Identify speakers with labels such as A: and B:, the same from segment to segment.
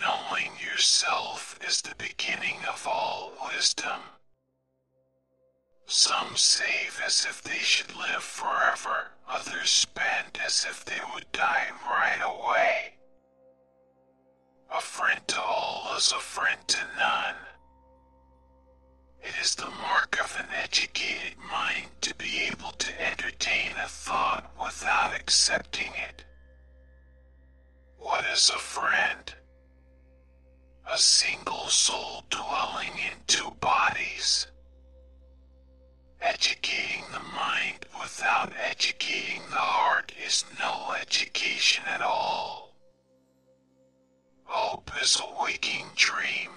A: Knowing yourself is the beginning of all wisdom. Some save as if they should live forever, others spend as if they would die right away. A friend to all is a friend to none. It is the mark of an educated mind to be able to entertain a thought without accepting it. What is a friend? A single soul dwelling in two bodies. Educating the mind without educating the heart is no education at all. Hope is a waking dream.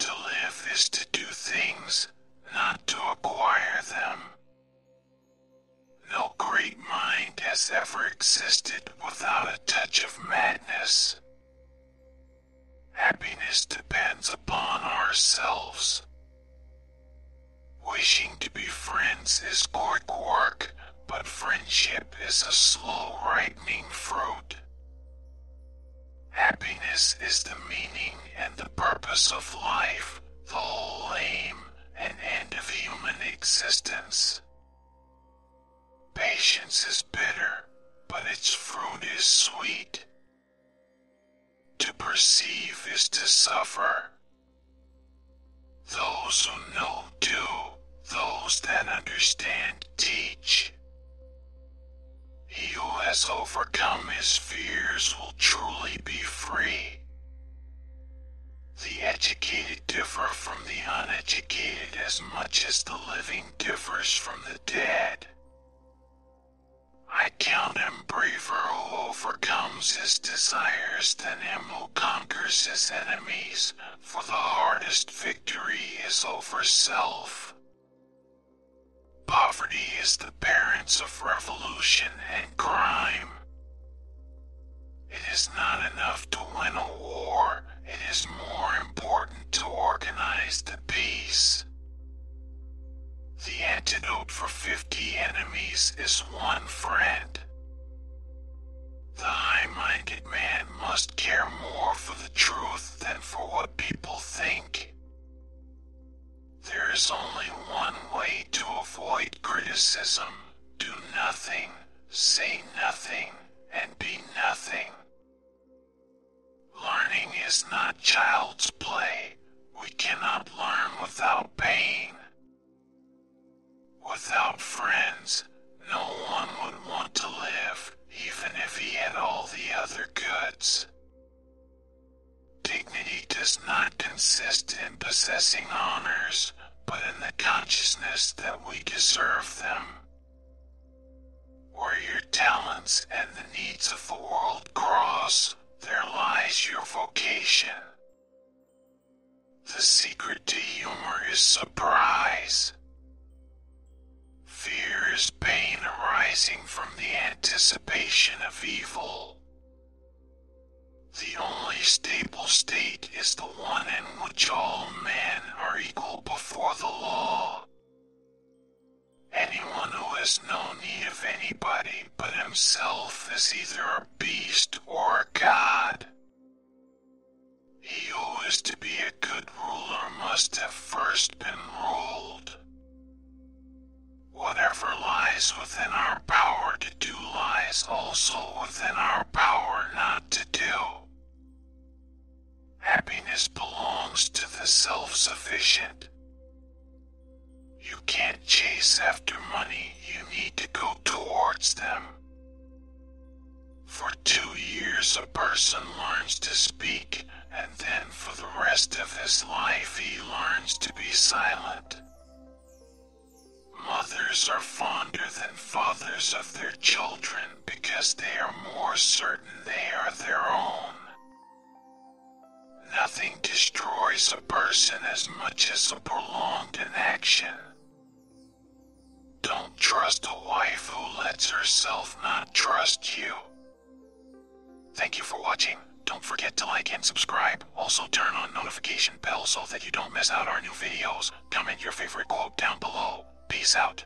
A: To live is to do things, not to acquire them. No great mind has ever existed without a touch of madness. Happiness depends upon ourselves. Wishing to be friends is quick work, but friendship is a slow ripening fruit. Happiness is the meaning and the purpose of life, the whole aim and end of human existence. Patience is bitter, but its fruit is sweet. To perceive is to suffer. Those who know do, those that understand teach.
B: He who has overcome his fears will truly be free. The educated differ from the
A: uneducated as much as the living differs from the dead. I count him braver who overcomes his desires than him who conquers his enemies for the hardest victory is over self. Poverty is the parents of revolution and crime. It is not enough to win a war, it is more important to organize the peace. The antidote for 50 enemies is one friend. The high-minded man must care more for the truth than for what people think. There is only one way to avoid criticism. Do nothing, say nothing, and be nothing. Learning is not child's play. We cannot learn without pain. Without friends, no one would want to live, even if he had all the other goods. Dignity does not consist in possessing honors, but in the consciousness that we deserve them.
B: Where your talents and the needs of the world cross, there lies your vocation.
A: The secret to humor is surprise. Fear is pain arising from the anticipation of evil. The only stable state is the one in which all men are equal before the law. Anyone who has no need of anybody but himself is either a beast or a god. He who is to be a good ruler must have first been ruled. Whatever lies within our power to do lies also within our power not to do. Happiness belongs to the self sufficient. You can't chase after money, you need to go towards them. For two years, a person learns to speak, and then for the rest of his life, he learns to be silent. Mothers are fonder than fathers of their children because they are more certain they are their own. Nothing destroys a person as much as a prolonged inaction. Don't trust a wife who lets herself not trust you. Thank you for watching. Don't forget to like and subscribe. Also turn on notification bell so that you don't miss out our new videos. Comment your favorite quote down below. Peace out.